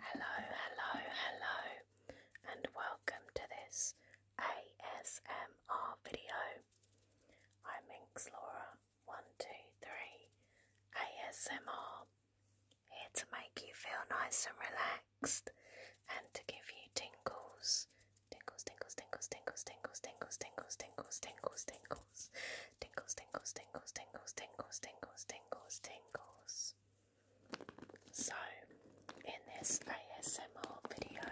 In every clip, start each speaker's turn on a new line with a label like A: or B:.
A: Hello, hello, hello, and welcome to this ASMR video. I'm Inxlaura123 ASMR, here to make you feel nice and relaxed and to give you Tingles, tingles, tingles, tingles, tingles, tingles, tingles, tingles, tingles, tingles, tingles, Tingles, tingles, tingles, tingles, tingles, tingles, tingles, tingles. So, in this ASMR video,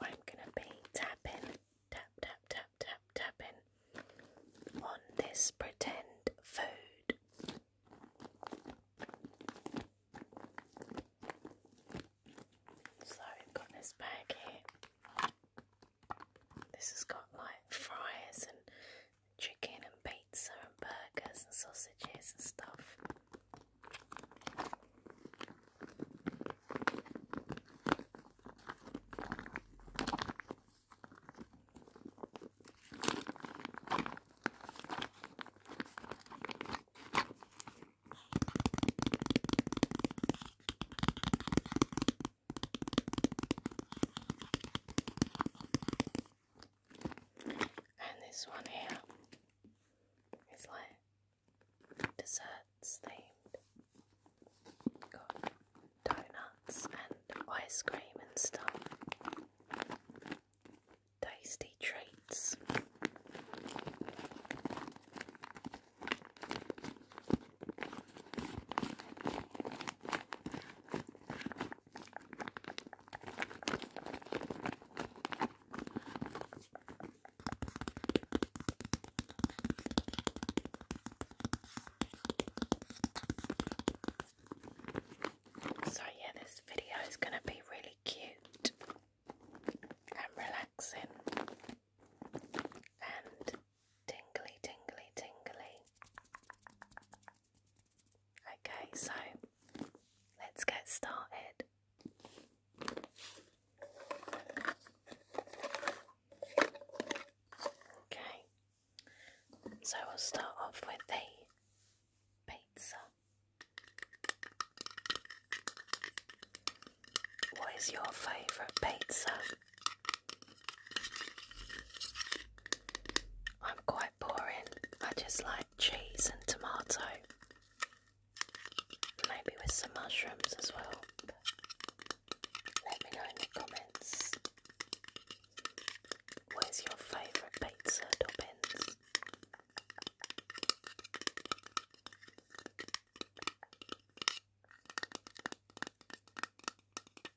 A: I'm gonna be tapping, tap, tap, tap, tap, tapping on this pretend food. So, I've got this bag here. This has got like fries and chicken and pizza and burgers and sausages and stuff. And this one here is like desserts themed. Got donuts and ice cream and stuff. Tasty treats. So, yeah, this video is going to be really cute and relaxing and tingly, tingly, tingly. Okay, so let's get started. Okay, so we'll start off with the pizza. What is your favourite pizza? I'm quite boring. I just like cheese and tomato. Maybe with some mushrooms as well. Let me know in the comments. What is your favourite pizza, Dobbins?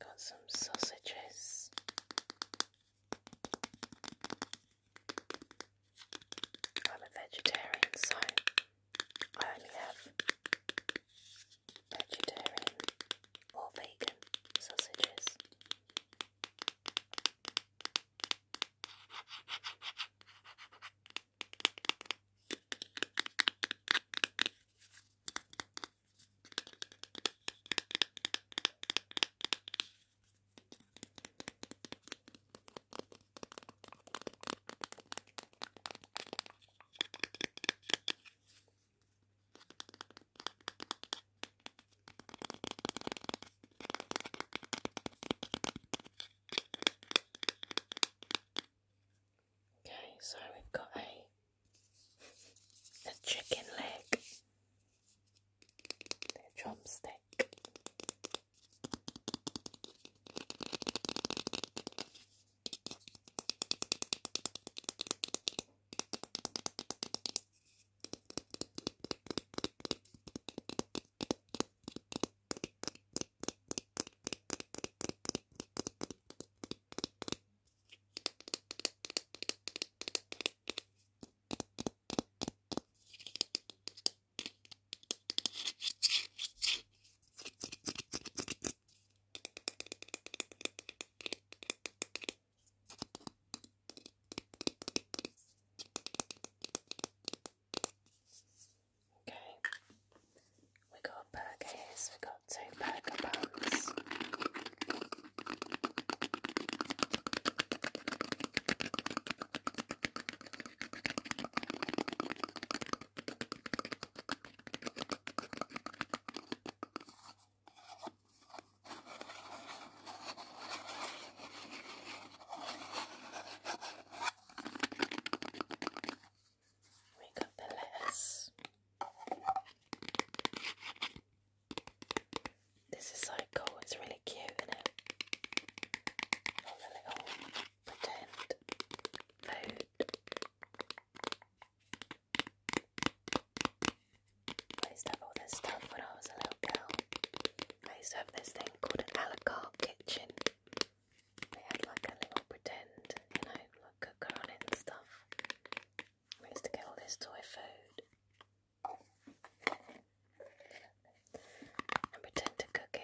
A: Got some sausages. I'm a vegetarian, so I only have vegetarian or vegan sausages. Okay, so we've got a the chicken leg, the drumstick. Okay, we got burgers, we got two burger buns, we got the letters. This is so cool, it's really cute, isn't it? All the little pretend food. I used to have all this stuff when I was a little girl. I used to have this thing called an a kitchen. They had like a little pretend, you know, cooker on it and stuff. Where's to get all this toy food? And pretend to cook it.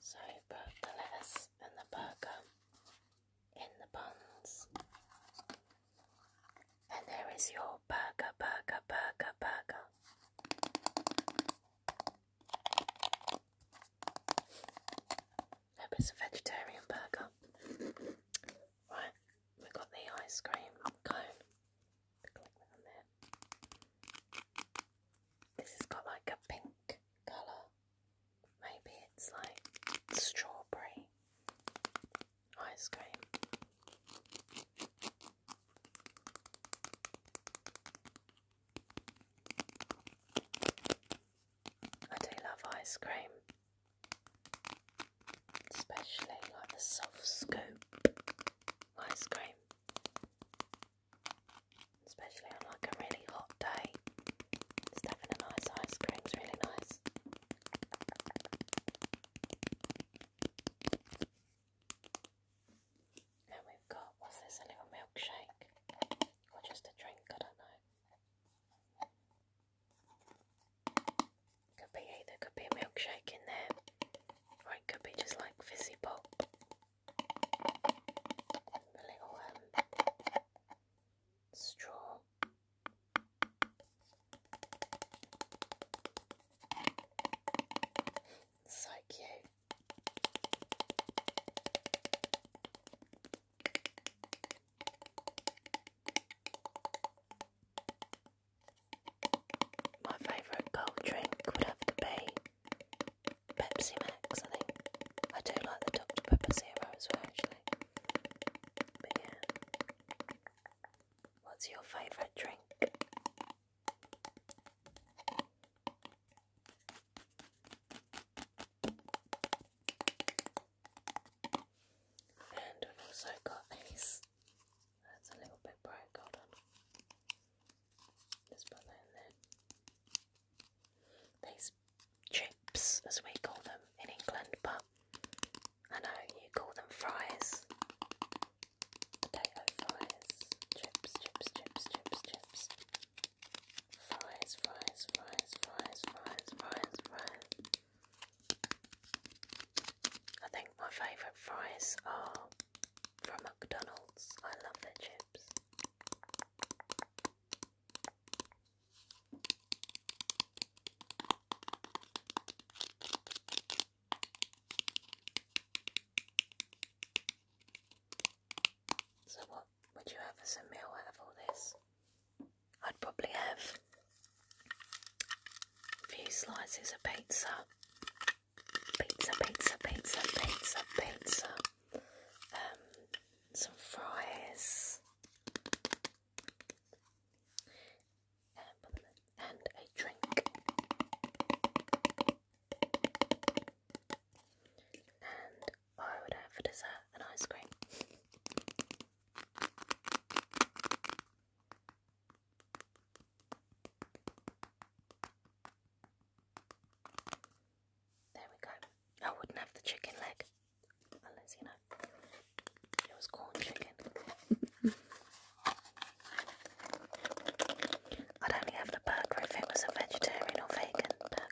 A: So put the lettuce and the burger in the buns. And there is your burger, burger, burger, burger. Hope it's a vegetarian burger. Right, we've got the ice cream cone. This has got like a pink colour. Maybe it's like strawberry ice cream. I do love ice cream, especially like the soft scoop ice cream. Especially on like a really hot day. Stuffing a nice ice cream's really nice. Now we've got, what's this, a little milkshake? Or just a drink, I don't know. Could be either, could be a milkshake in there it could be just like fizzy pop. A little um, straw. so cute. My favourite cold drink would have to be Pepsi Max, I think. I do like the Dr. Pepper Zero as well, actually. yeah. What's your favourite drink? And we've also got these that's a little bit bright, hold on. Let's put that in there. These chips, as we call them in England, but I know you call them fries. Potato fries, chips, chips, chips, chips, chips. Fries, fries, fries, fries, fries, fries, fries. I think my favourite fries are from McDonald's. I love their chips. So, what would you have as a meal out of all this? I'd probably have a few slices of pizza pizza, pizza, pizza, pizza, pizza. Um, some fries. Uh, and a drink. And I would have for dessert an ice cream. There we go. I wouldn't have the chicken leg unless you know it was corn chicken. I'd only have the burger if it was a vegetarian or vegan burger.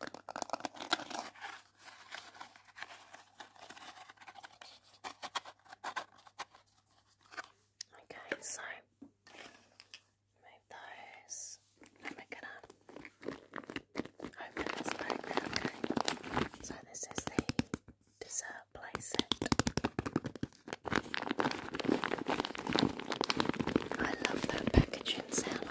A: Okay, so Move those. And we're going okay? So this is the dessert play I love that packaging sound. I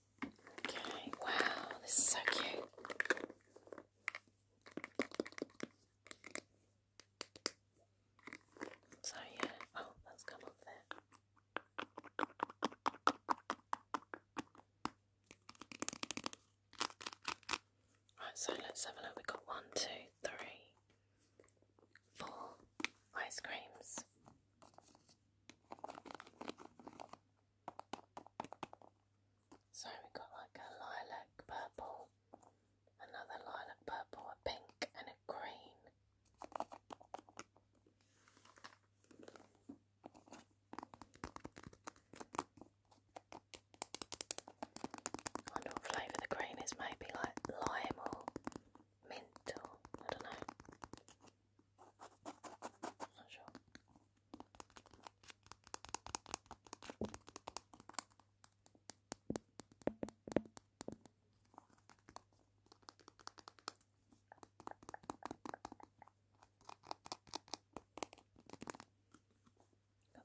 A: Okay, wow, this is so cute. So yeah, oh, that's come off there. Right, so let's have a look. we got one, two, three, four, ice creams. So we got like a lilac purple, another lilac purple, a pink and a green. I wonder what flavour the green is, maybe like lime or mint or I don't know not sure. Got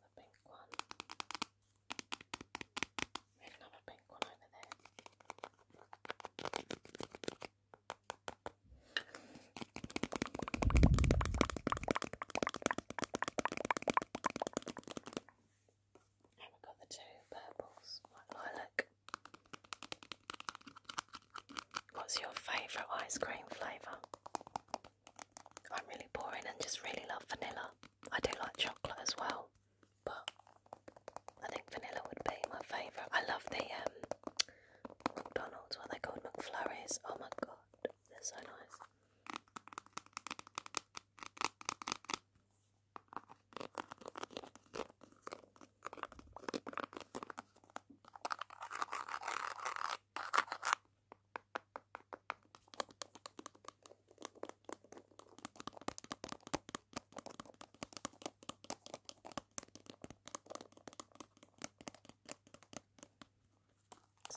A: the pink one. We have a pink one over there we got the two purples, white lilac. What's your favourite ice cream flavour? I'm really boring and just really love vanilla. I do like chocolate as well but I think vanilla would be my favourite. I love the um, McDonald's, what they called McFlurries. Oh my god, they're so nice. So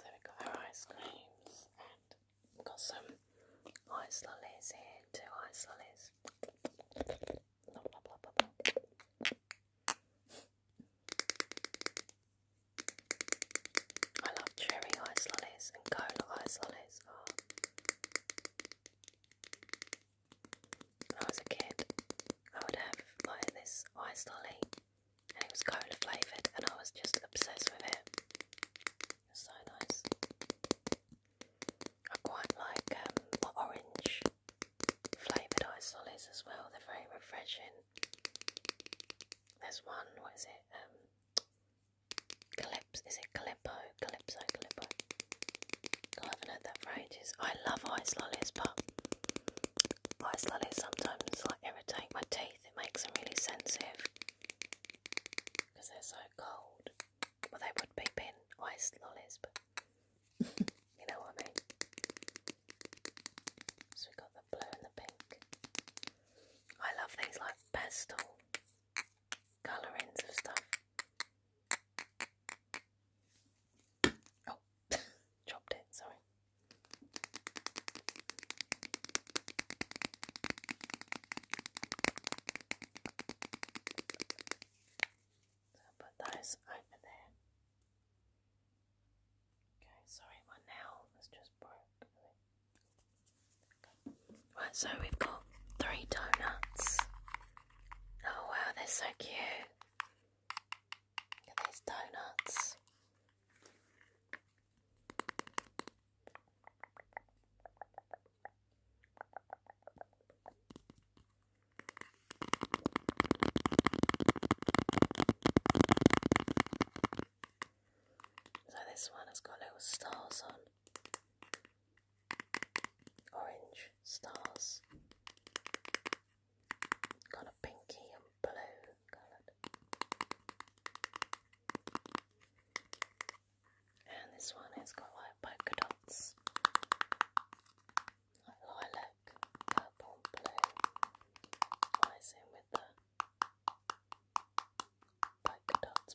A: we've got our ice creams and we've got some ice lollies here, two ice lollies. Blah, blah, blah, blah, I love cherry ice lollies and cola ice lollies. Oh. When I was a kid, I would have like this ice lolly, and it was cola flavoured, and I was just obsessed with it. so nice. I quite like um, orange flavoured ice lollies as well, they're very refreshing. There's one, what is it? Um, is it Calippo? Calypso, Calippo. God, I haven't heard that for ages. I love ice lollies, but ice lollies sometimes like irritate my teeth. It makes them really sensitive because they're so cold. Well, they would be pin ice lollies, but you know what I mean. So we got the blue and the pink. I love things like pastel colourings of stuff. Oh, dropped it, sorry. So put those over there. Okay, sorry, my nail has just broke. Right, so we've got three donuts. Oh wow, they're so cute. Look at these donuts. So this one has got little stars on orange stars, kind of pinky and blue coloured. And this one has got like polka dots, like lilac, purple, blue, ties with the polka dots,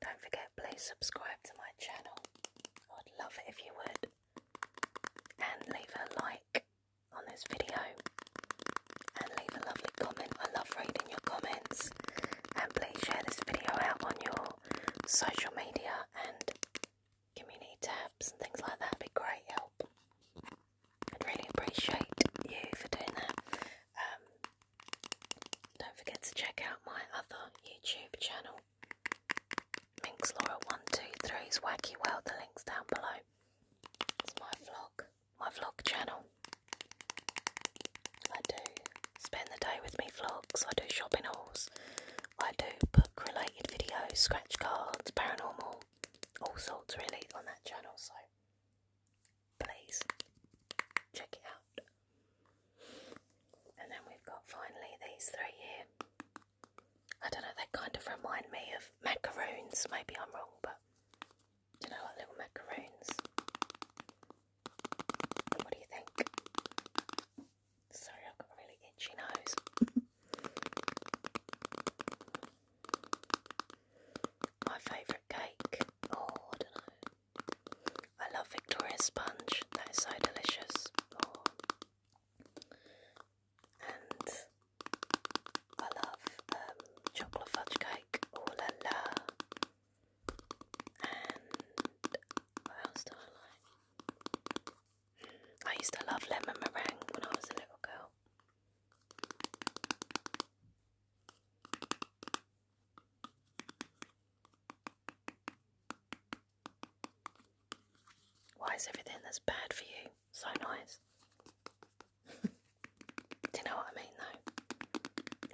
A: Don't forget, please subscribe to my channel. I'd love it if you would. And leave a like on this video. And leave a lovely comment. I love reading your comments. And please share this video out on your social media and community tabs and things like that. would be great help. I'd really appreciate you for doing that. Um, don't forget to check out my other YouTube channel. Laura MinxLaura123 is wacky. Well, the link's down below. It's my vlog, my vlog channel. I do spend the day with me vlogs, I do shopping hauls, I do book related videos, scratch cards, paranormal, all sorts really on that channel. So please check it out. And then we've got finally these three here. I don't know, they kind of remind me of macaroons. Maybe I'm wrong, but you know, like little macaroons. What do you think? Sorry, I've got really itchy nose. My favourite cake. Oh, I don't know. I love Victoria sponge, that is so delicious. Oh. And I love um, chocolate fudge cake, oh la la. And what else do I like? Hmm, I used to love lemon meringue when I was a little girl. Why is everything that's bad for you so nice? Do you know what I mean though?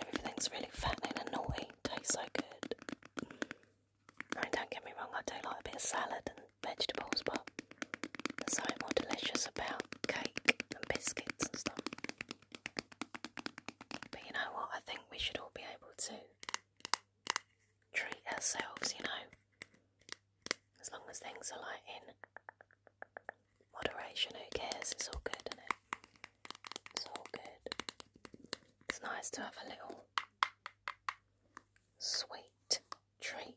A: Everything's really fattening and naughty, tastes so good. I mean, don't get me wrong, I do like a bit of salad and vegetables, but there's something more delicious about cake and biscuits and stuff. But you know what? I think we should all be able to treat ourselves, you know. As long as things are like in moderation, who cares? It's all good, is It's all good. It's nice to have a little sweet treat.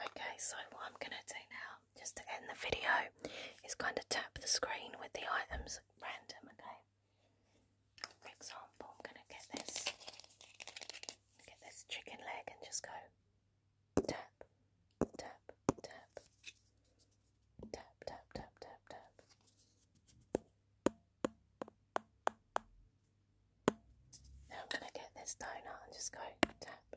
A: Okay, so what I'm going to do now, just to end the video, is gonna tap the screen with the items random, okay? For example, I'm going to get this, get this chicken leg and just go tap, tap, tap, tap, tap, tap, tap, tap. Now I'm going to get this donut and just go tap,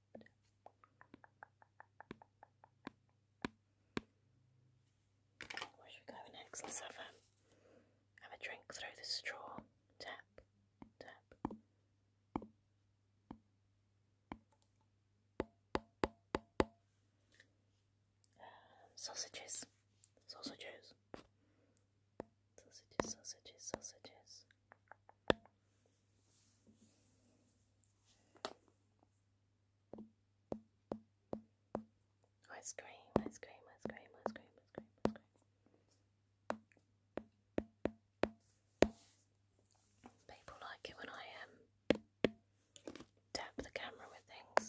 A: where should we go next? Let's have a, have a drink through the straw. Tap, tap. sausages, sausages, sausages, sausages, sausages. Ice cream, ice cream, ice cream, ice cream, ice cream, ice cream. People like it when I um tap the camera with things.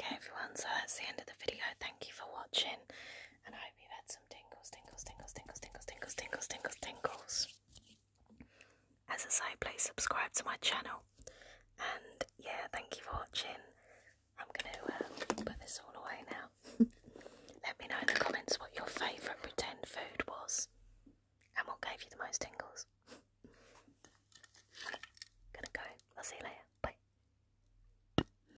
A: Okay everyone, so that's the end of the video. Thank you for watching and I hope you had some tingles, tingles, tingles, tingles, tingles, tingles, tingles, tingles, tingles. As a side, please subscribe to my channel. And yeah, thank you for watching. I'm gonna uh, put this all away now. Let me know in the comments what your favourite pretend food was and what gave you the most tingles. Gonna go. I'll see you later. Bye.